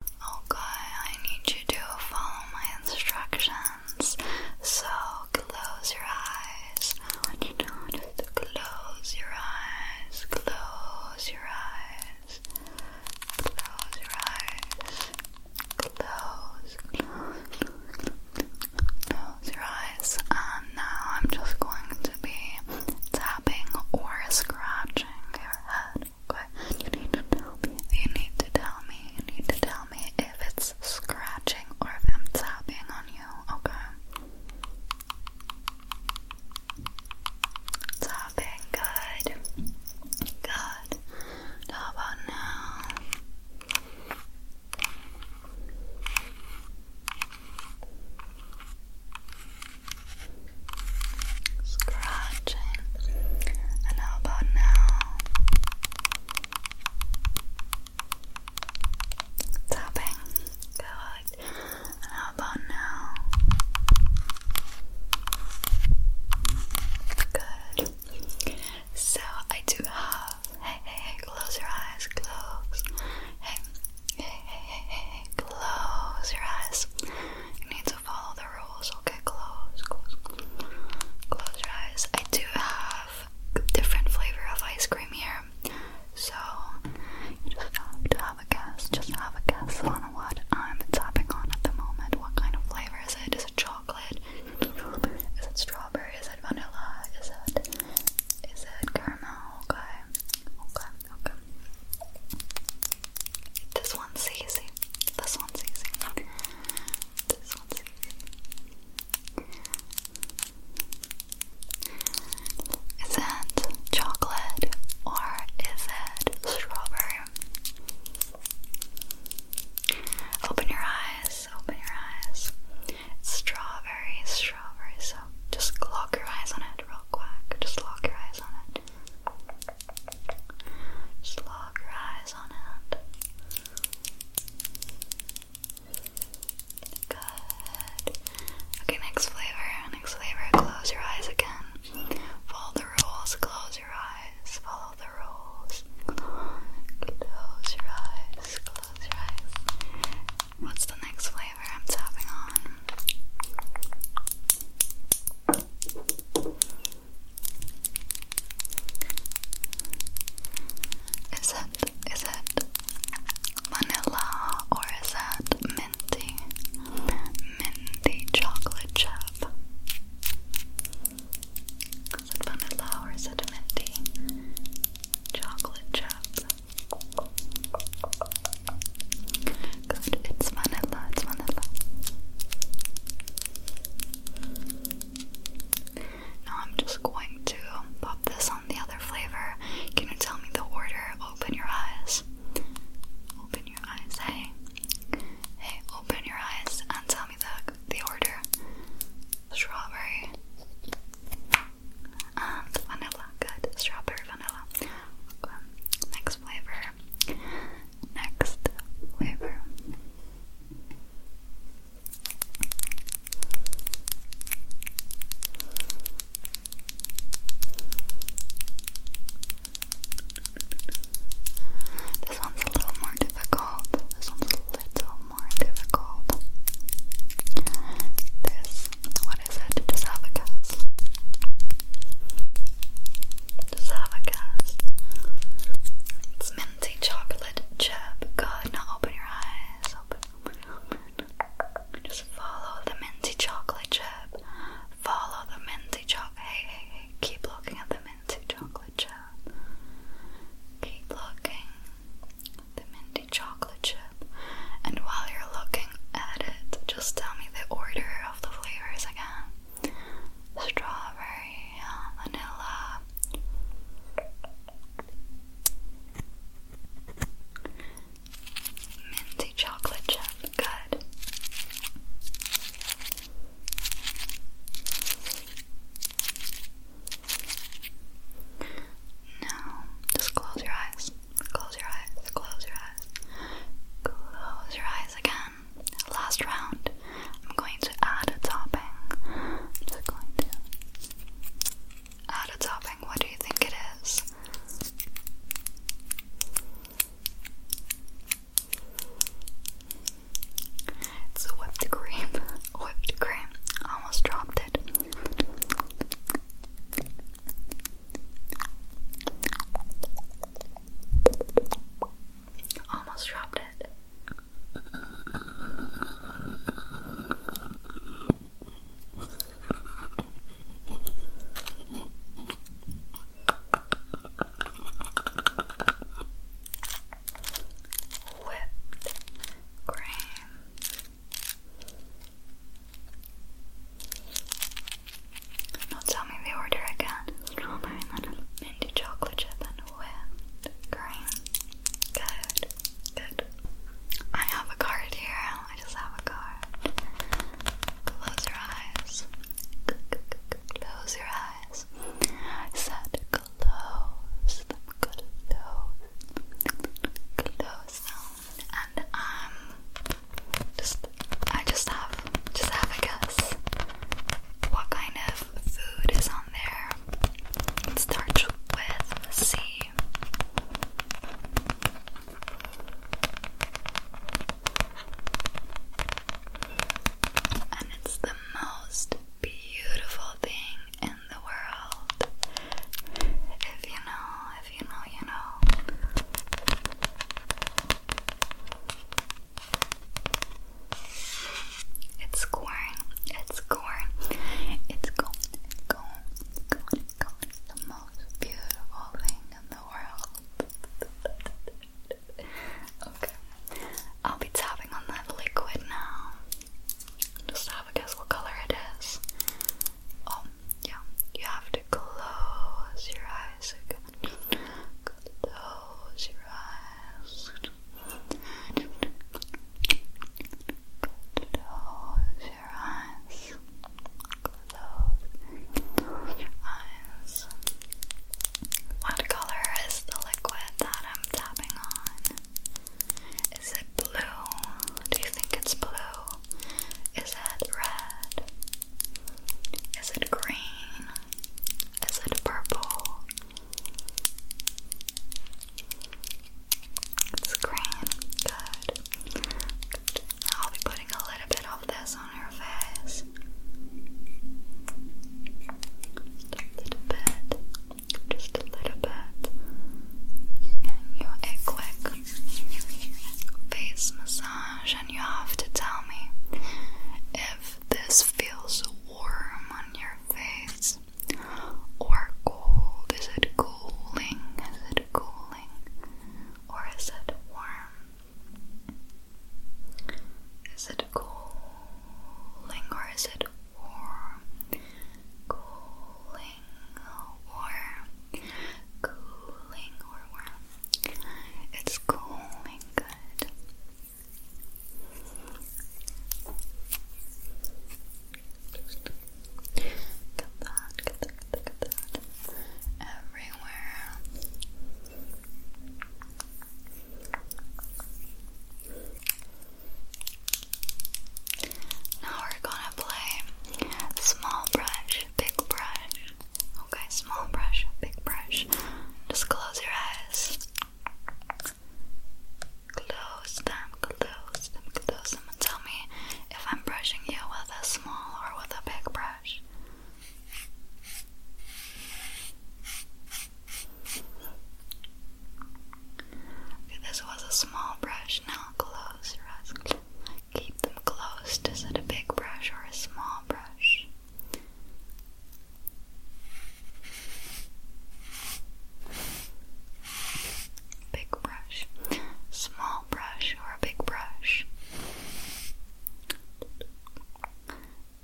Okay, I need you to follow my instructions. So close your eyes. just close your eyes. Close your eyes. Close your eyes. Close. Close your eyes. And now I'm just going to be tapping or scratching your head. Okay. You need to tell me. You need to tell me. You need to tell me if it's scratching or if I'm tapping on you. Okay. Tapping. Good. Good. How about now? Scratching. And how about now? Tapping. Good. And how about now? Good. So I do have. Hey, hey, hey, close your eyes, close. Hey, hey, hey, hey, hey, close your eyes follow the rules. Okay, close, close, close your eyes. I do have different flavor of ice cream here, so you just have to have a guess. Just have a guess on what I'm tapping on at the moment. What kind of flavor is it? Is it chocolate? Is it strawberry? Is it vanilla? Is it is it caramel? Okay, okay, okay. This one's easy. This one's easy. This one's easy. Is it chocolate or is it strawberry? Open your eyes, open your eyes. It's strawberry, strawberry, so just lock your eyes on it real quick. Just lock your eyes on it. Just log your eyes on it. Good. Okay, next flavor. Next flavor, close your eyes again. Follow the rules, close your eyes, follow the rules. Close your eyes, close your eyes. What's the next flavor I'm tapping on? Is it is it vanilla or is that minty? Minty chocolate chip. Is it vanilla or is it minty chocolate chip? Good, it's vanilla, it's vanilla. Now I'm just going to pop this on the other flavor. Can you tell me the order? Open your eyes. Open your eyes, hey. Hey, open your eyes and tell me the the order. Strawberry and vanilla. Good. Strawberry vanilla. Next flavor. Next flavor. This one's a little more difficult. This one's a little more difficult. This what is it? Just have a guess. Just have a guess. It's minty chocolate chip. Good. Now open your eyes. Open, Just follow the minty chocolate chip. Follow the minty chocolate. Hey, hey, hey. Keep looking at the minty chocolate chip. Keep looking. The minty chocolate chip. And while you're looking, looking just tell me the order of the flavors again. Strawberry, vanilla. Minty chocolate chip, good. Now, just close your eyes. Close your eyes, close your eyes, close your eyes again. Last round, I'm going to add a topping. I'm going to add a topping. What do you think it is? It's whipped cream, whipped cream. Almost dropped it. Almost dropped it. Whipped cream. Now tell me the order again. Strawberry, then a minty chocolate chip, and a whipped cream. Good, good. I have a card here. I just have a card. Close your eyes. Close your eyes. I said close them. Close. Close them and um, just I just have just have a guess what kind of food is on there. It with C. And it's the most beautiful thing in the world. If you know, you know. It's corn, it's corn, it's corn, it's corn, it's corn, it's the most beautiful thing in the world. okay, I'll be tapping on that liquid now. Just have a guess what color it is. Oh, yeah, you have close your eyes again. Close your eyes. Close your eyes. Close eyes. What color is the liquid that I'm tapping on? Is it blue? Do you think it's blue? Is it red? Is it green? Is it purple? It's green. Good. I'll be putting a little bit of this on your face. Just a little bit. Just a little bit. Can you a quick face massage, and you have to tell me if this feels warm on your face or cold. Is it cooling? Is it cooling? Or is it warm? Is it cooling or is it warm? Cooling or cooling or warm. It's cooling good. get that, get that, get that, get that. everywhere. Now we're gonna play small brush brush, big brush. Okay, small brush, big brush. Just close your eyes. Close them, close them, close them, tell me if I'm brushing you with a small or with a big brush. this was a small brush. Now close your eyes. Keep them close to set a big brush or a small brush. Big brush, small brush, or a big brush.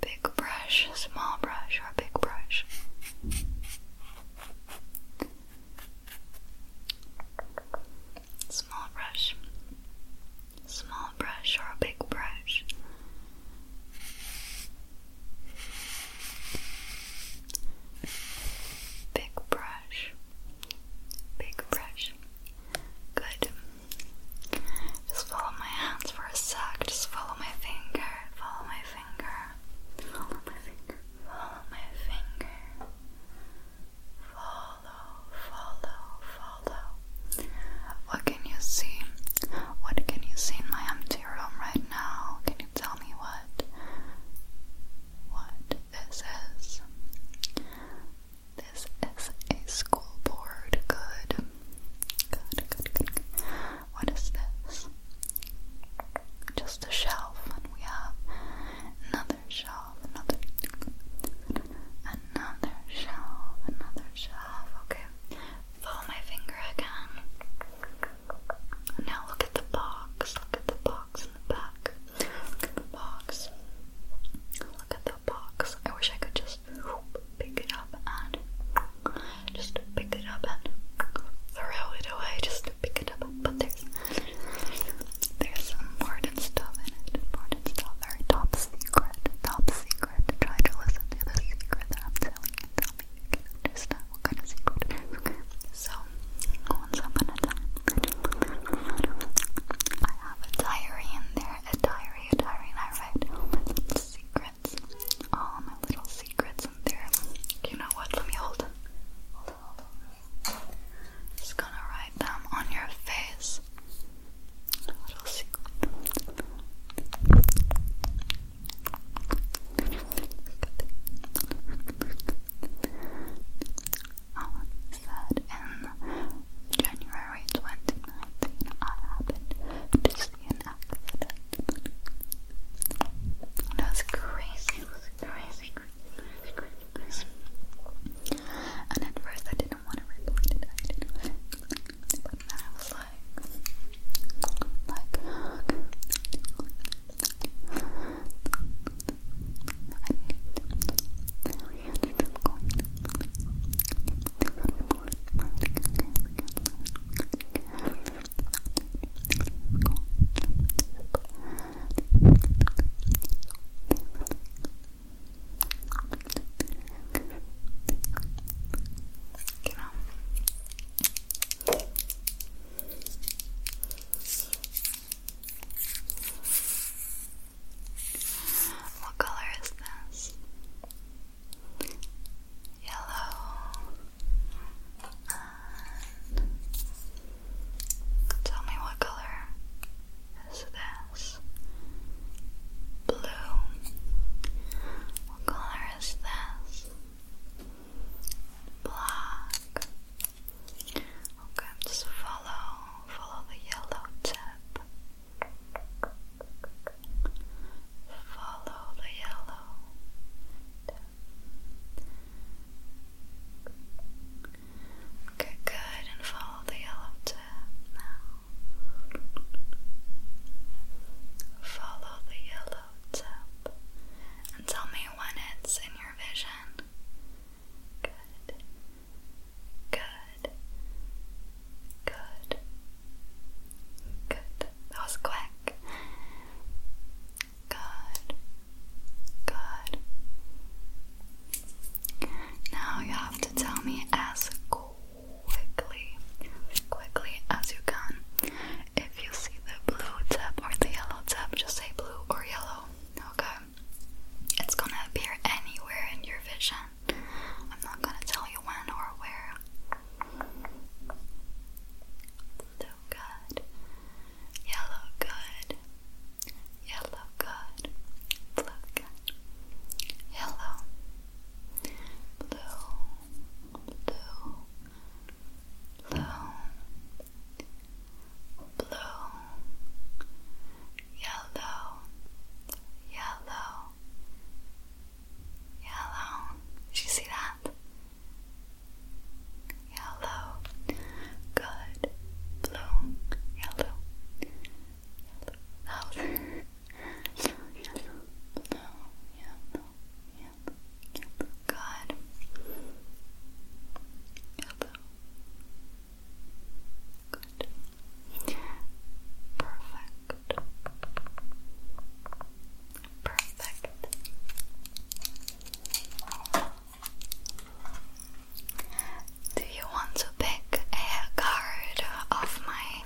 Big brush, small brush, or a big brush. Small brush. Small brush or a big brush. Big brush. Big brush. Good. Just follow my hands for a sec. Just follow my finger. Follow my finger. Follow my finger. Follow my finger. Follow, follow, follow. What can you see? What can you see in my empty room right now? Can you tell me what? What this is? This is a school board. Good. Good, good, good. What is this? Just a shelf, and we have nothing another shelf, another, another shelf, another shelf. Okay, follow my finger again. Now look at the box. Look at the box in the back. the box. Look at the box. I wish I could just pick it up and just pick it up and throw it away. Just pick it up, but there's there's important stuff in it. Important stuff. Very top secret. Top secret. Try to listen to the secret that I'm telling Tell me if you what kind of secret it is. Okay. So one step at a I have a diary in there. A diary, a diary, I write all secrets. All my little secrets in there. You know what? Let me hold them. Just gonna write them on your face. little secret. Oh, said in January 2019, I happened to see an accident. That's crazy crazy, crazy, And at first I didn't want to report it, I I was like, like, Genau. What color is this? Yellow. Uh, Tell me what color is this? Blue. What color is this? Black. Okay, just follow, follow the yellow tip. Follow the yellow tip. Okay, good, and follow the yellow tip now. Follow the yellow tip and tell me when it's in your vision. Good, good, good, good. That was quick. Good. Good. Now you have to tell me as quickly, quickly as you can. If you see the blue tip or the yellow tap, just say blue or yellow. Okay. It's gonna appear anywhere in your vision. I'm not gonna tell you when or where good. Yellow good. Yellow good. Blue Yellow. Blue. Blue. Blue. Blue. Yellow. Yellow. Yellow. Did you see that? yellow, good, blue, yellow, yellow, yellow, yellow, blue, yellow, yellow, yellow, good, yellow, good, perfect, perfect. Do you want to pick a card off my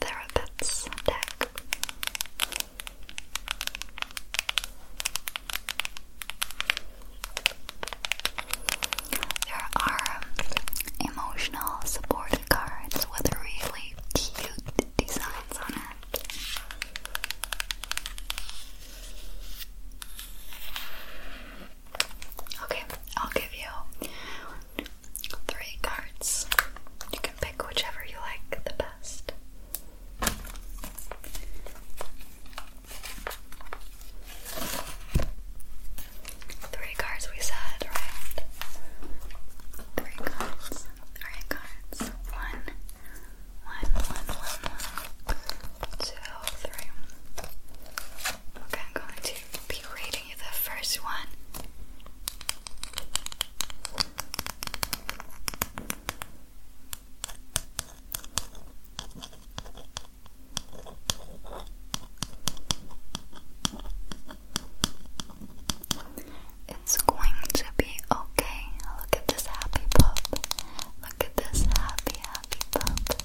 therapist's deck? There are emotional support cards with really cute designs on it. Okay, I'll give you three cards. You can pick whichever you like the best. Three cards, we said, right? Three cards. Three cards. One, one, one, one, one, two, three. Okay, I'm going to be reading you the first one. It's going to be okay. Look at this happy pup. Look at this happy, happy pup.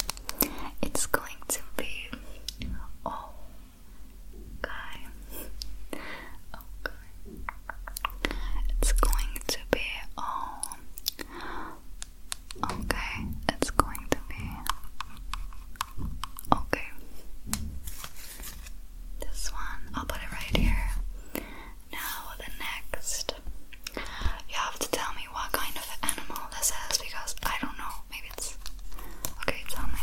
It's going to be oh, okay. Okay. It's going to be oh, okay. It's going to be okay. This one, I'll put it right here. Now, the next. You have to tell me what kind of animal this is because I don't know. Maybe it's. Okay, tell me.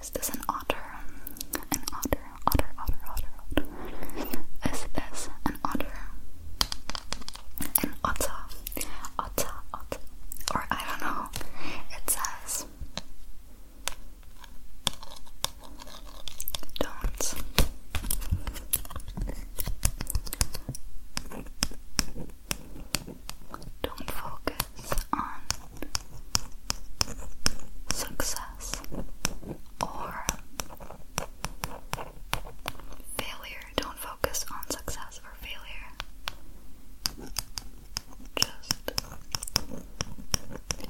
Is this an otter? An otter, otter, otter, otter, Is this an otter? An otter. Otter, otter. Or I don't know. It says. Don't. Don't focus on success or failure. Don't focus on success or failure. Just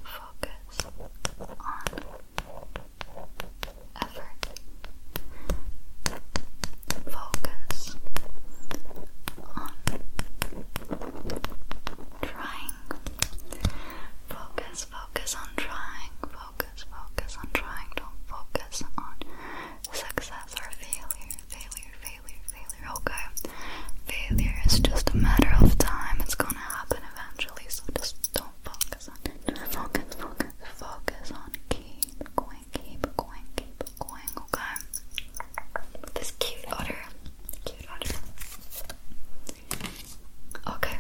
focus on effort, focus on trying, focus, focus on trying, focus, focus on trying, don't focus on success or failure, failure, failure, failure, okay? Failure is just a matter of time, it's gonna happen eventually naturally, so just don't focus on Focus, focus, focus on keep going, keep going, keep going, okay? This cute otter. Cute otter. Okay.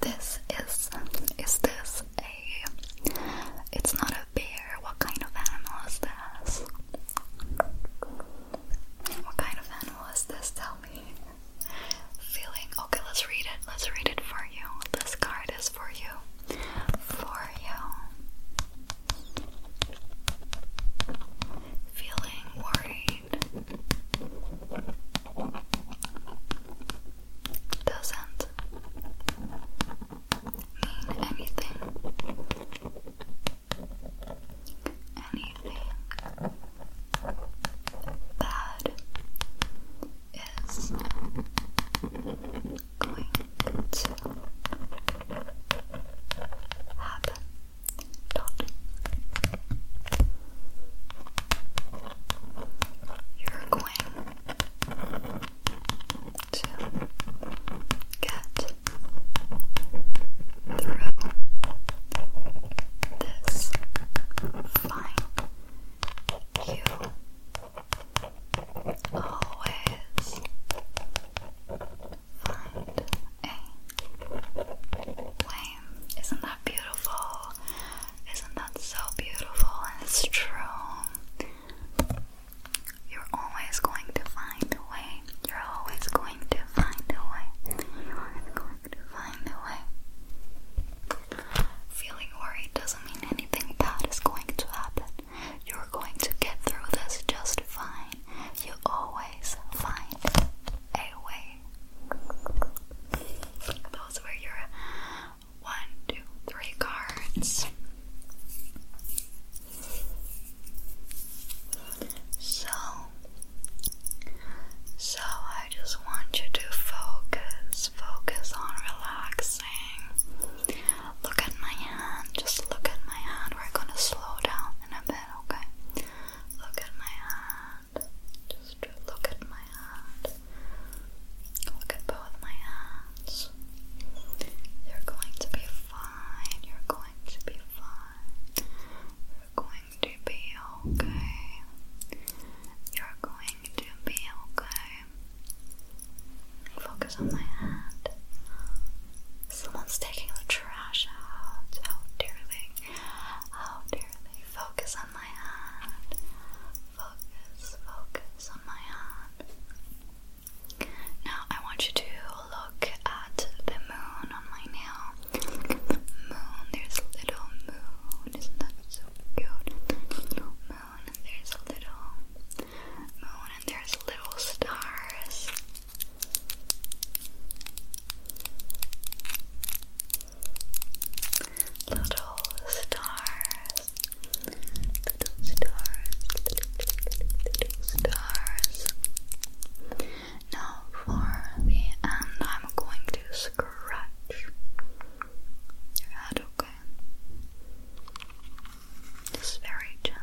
This is is this a it's not a bear. What kind of animal is this? What kind of animal is this? Tell me. Feeling okay, let's read it. Let's read it for you. This card is for you. For you. Feeling worried. Doesn't mean anything anything bad is going to happen. You're going to get through this fine. You always find a way. Isn't that beautiful? Isn't that so beautiful? And it's true. You're always going to find a way you're always going to find a way. going to find a way. Feeling worried doesn't mean anything bad is going to happen. You're going to get through this just fine. You always find a way. Those were your one, two, three cards. So so I just want you to focus, focus on relaxing. Look at my hand, just look at my hand. We're gonna slow down in a bit, okay? Look at my hand, just look at my hand. Look at both my hands. You're going to be fine. You're going to be fine. You're going going to be okay. You're going to be okay. Focus on my hand. Someone's taking the trash out. How dare they? How Focus on my hand. Focus, focus on my hand. Now I want you to look at the moon on my nail. Moon, there's a little moon. Isn't that so cute? moon, there's a little moon, and there's little stars. Little stars. Little stars. Little stars. Now for the end, I'm going to scratch your head, okay? Just very gently.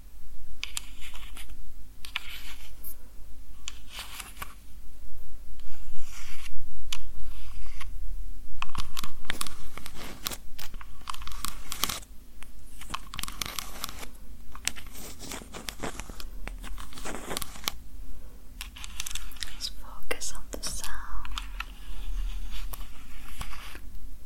Let's focus on the sound.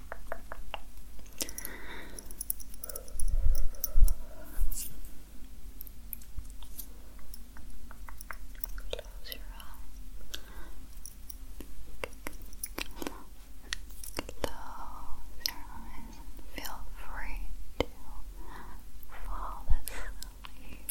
Close your eyes. feel free to fall asleep.